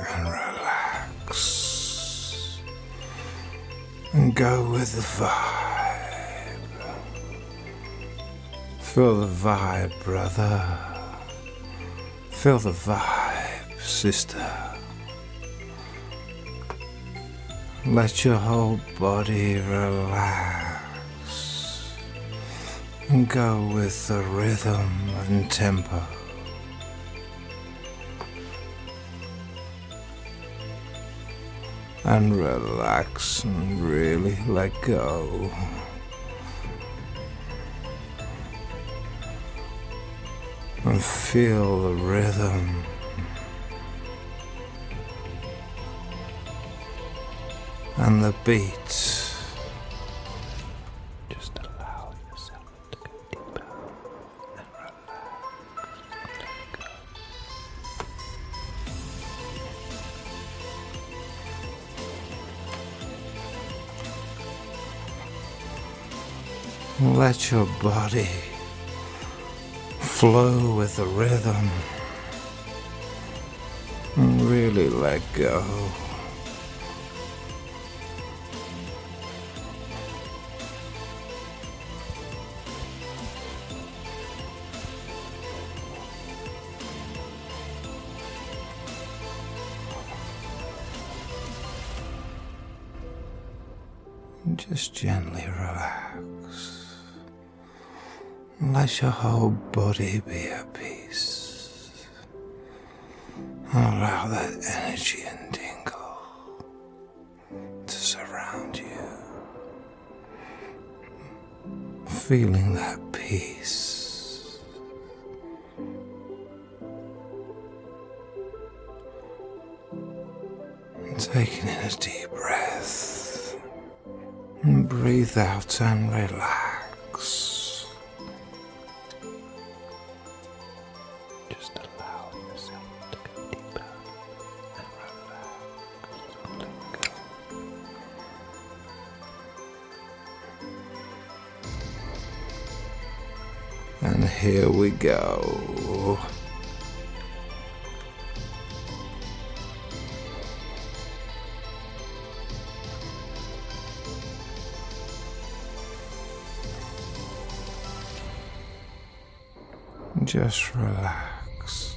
And relax. And go with the vibe. Feel the vibe, brother. Feel the vibe, sister. Let your whole body relax and go with the rhythm and tempo. And relax and really let go and feel the rhythm. And the beats. Just allow yourself to go deeper and relax. Let your body flow with the rhythm. Really let go just gently relax. Let your whole body be at peace. And allow that energy and tingle to surround you. Feeling that peace. Taking in a deep breath. And breathe out and relax. Just allow yourself to go deeper and relax. And here we go. Just relax.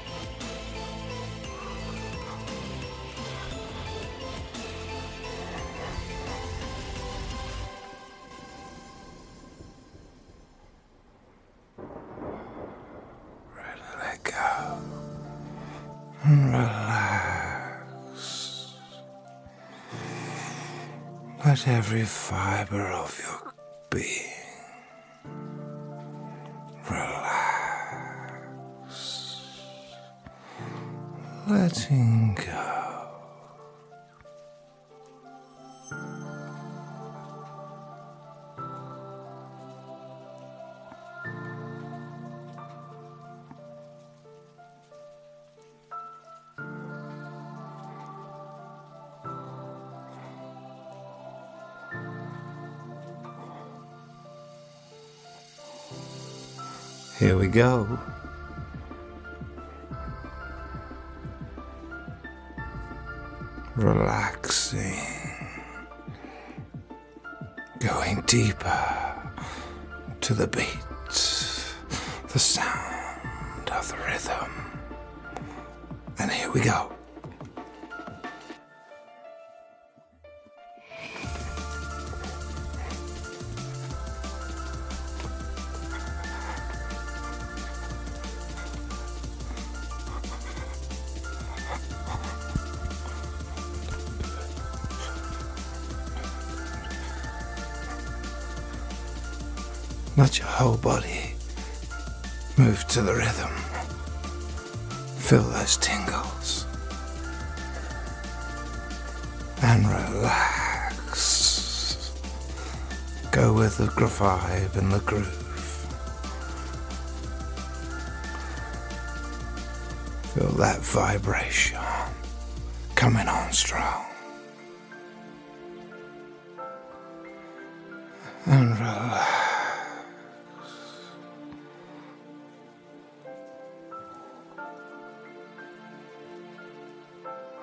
Let go. and Relax. Let every fiber of your being Relax. Letting go. Here we go. Relaxing. Going deeper to the beat, the sound of the rhythm. And here we go not your whole body, Move to the rhythm. Feel those tingles. And relax. Go with the vibe and the groove. Feel that vibration coming on strong and relax.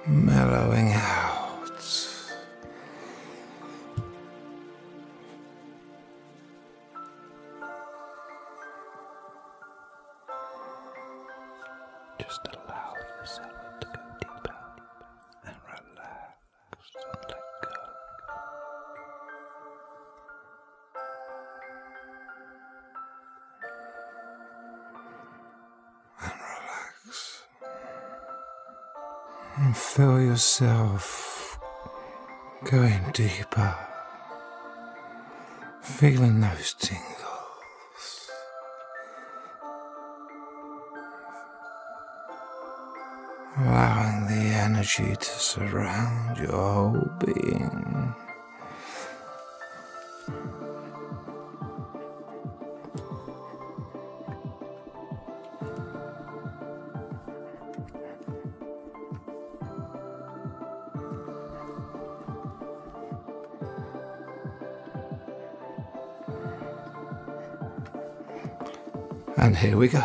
Mellowing out. Just allow yourself to go deeper and relax and relax. feel yourself going deeper, feeling those tingles allowing the energy to surround your whole being. And here we go.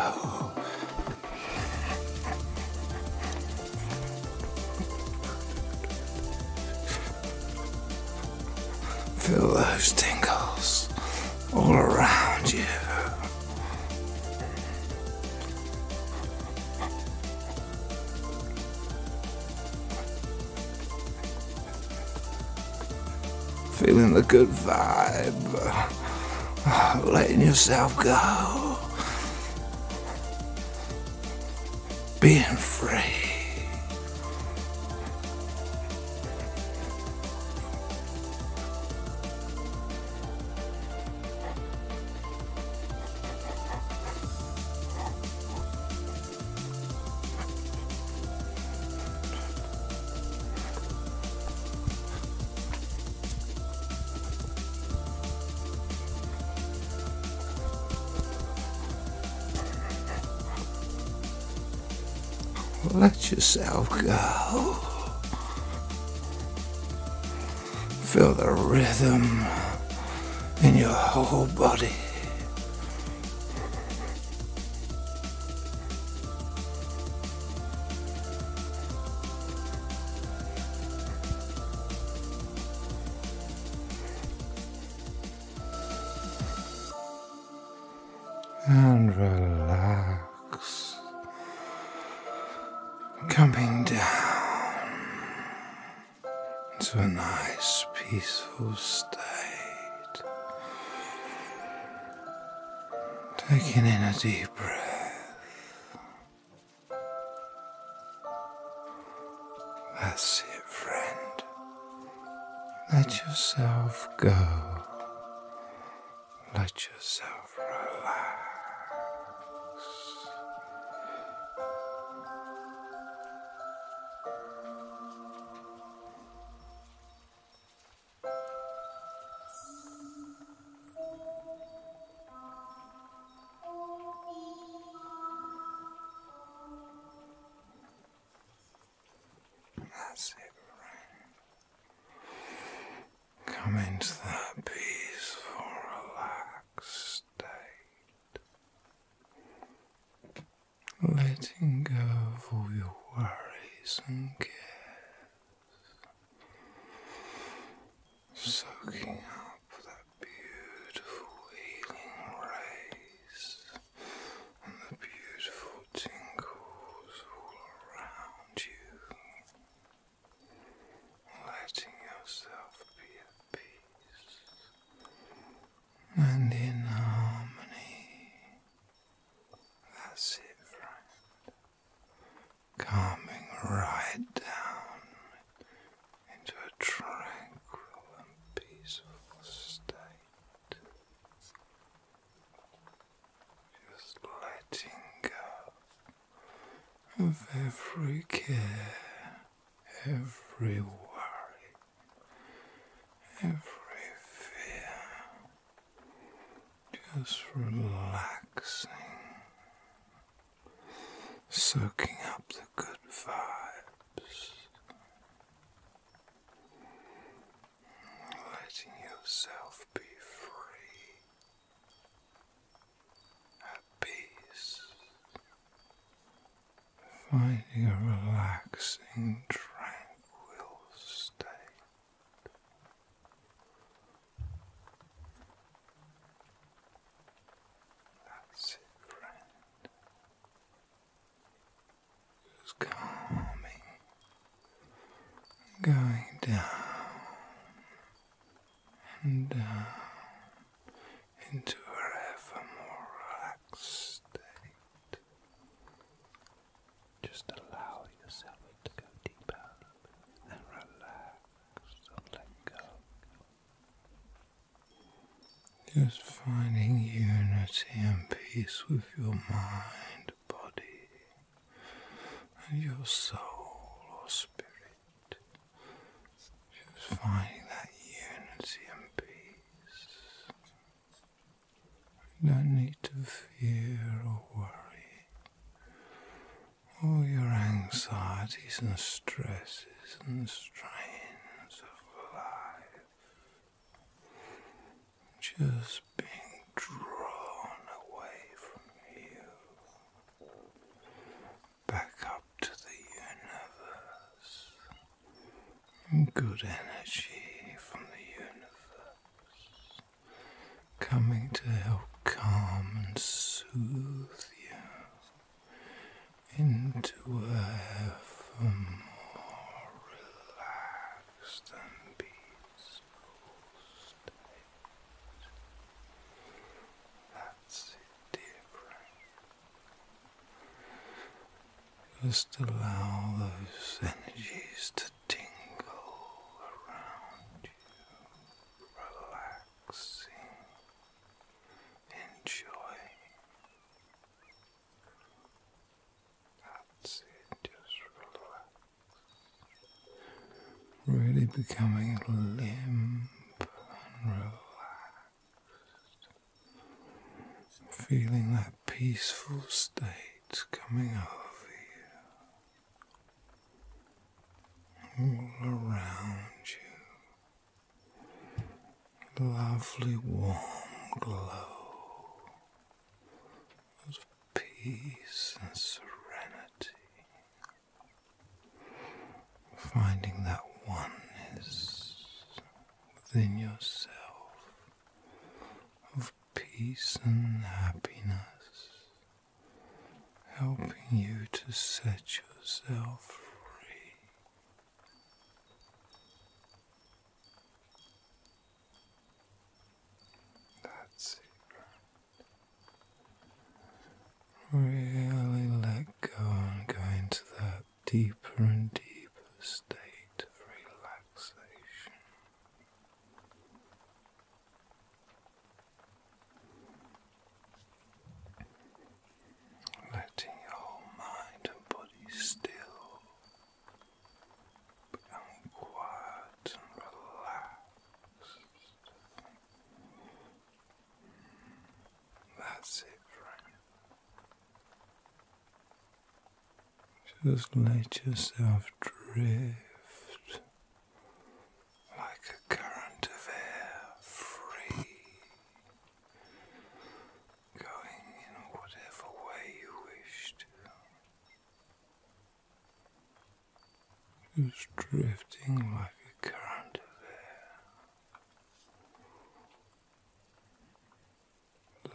Feel those tingles all around you. Feeling the good vibe. Letting yourself go. Being free. Let yourself go. Feel the rhythm in your whole body and relax, coming down into a nice, peaceful state. Taking in a deep breath. That's it, friend. Let yourself go. Let yourself relax. That's it, Come into that peaceful, relaxed state letting go of all your worries and cares, soaking up that beautiful healing rays and the beautiful tingles all around you. Letting yourself be at peace and in harmony. That's it, friend. Calming right down into a tranquil and peaceful state. Just letting go of every care every worry, every fear, just relaxing, soaking up the good vibes, letting yourself be free. At peace, finding a relaxing, tranquil state. That's it, friend. Just calming, going down and down uh, into a ever more relaxed state. Just allow yourself to go deeper and relax and let go. Just finding unity and peace with your mind, body, and your soul or spirit. She finding that unity and peace. You don't need to fear or worry. All your anxieties and stresses and strains of life just being drawn away from you back up to the universe. Good energy from the universe coming to help calm and soothe you into a more relaxed and peaceful state. Just allow those energies to tingle around you, relaxing, enjoying. That's it, just relax really becoming limp and relaxed, feeling that peaceful state coming over you, all around you, lovely warm glow of peace and serenity. Finding that oneness within yourself of peace and happiness, helping you to set yourself free. That's it. Really let go and go into that deeper and deeper state of relaxation. Letting your mind and body still become quiet and relaxed. That's it, Frank. Just let yourself drift like a current of air, free, going in whatever way you wish just drifting like a current of air,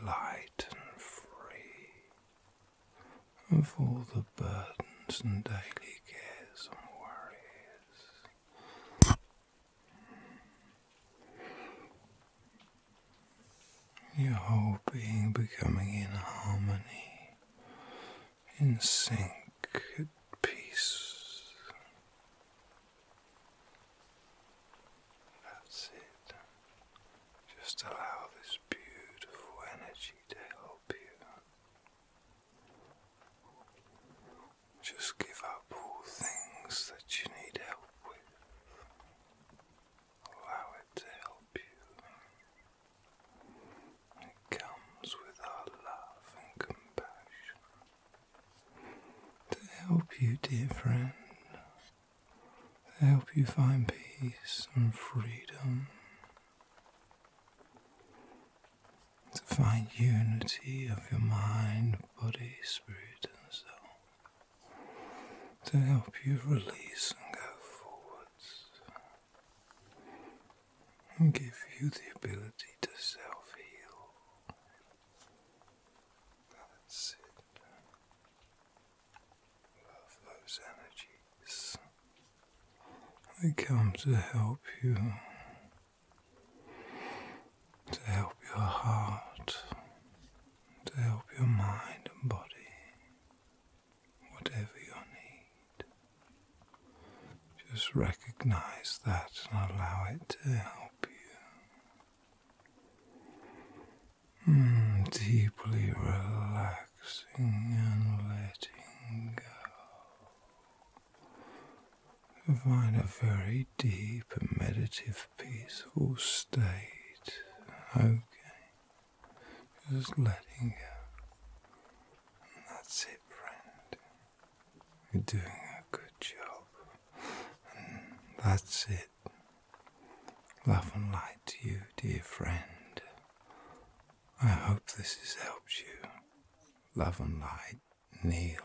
light and free of all the burdens and daily cares and worries. Your whole being becoming in harmony in sync at peace. That's it. Just allow this beautiful energy to help you. Just give up all things that you need help with. Allow it to help you. It comes with our love and compassion to help you, dear friend, to help you find peace and freedom, to find unity of your mind, body, spirit, and soul. To help you release and go forwards, and give you the ability to self heal. That's it. those energies. They come to help you, to help your heart, to help your mind and body whatever your need. Just recognize that and allow it to help you. Mm, deeply relaxing and letting go. Find a very deep meditative, peaceful state. Okay. Just letting go. And that's it, friend. You're doing a good job. And that's it. Love and light to you, dear friend. I hope this has helped you. Love and light, Neil.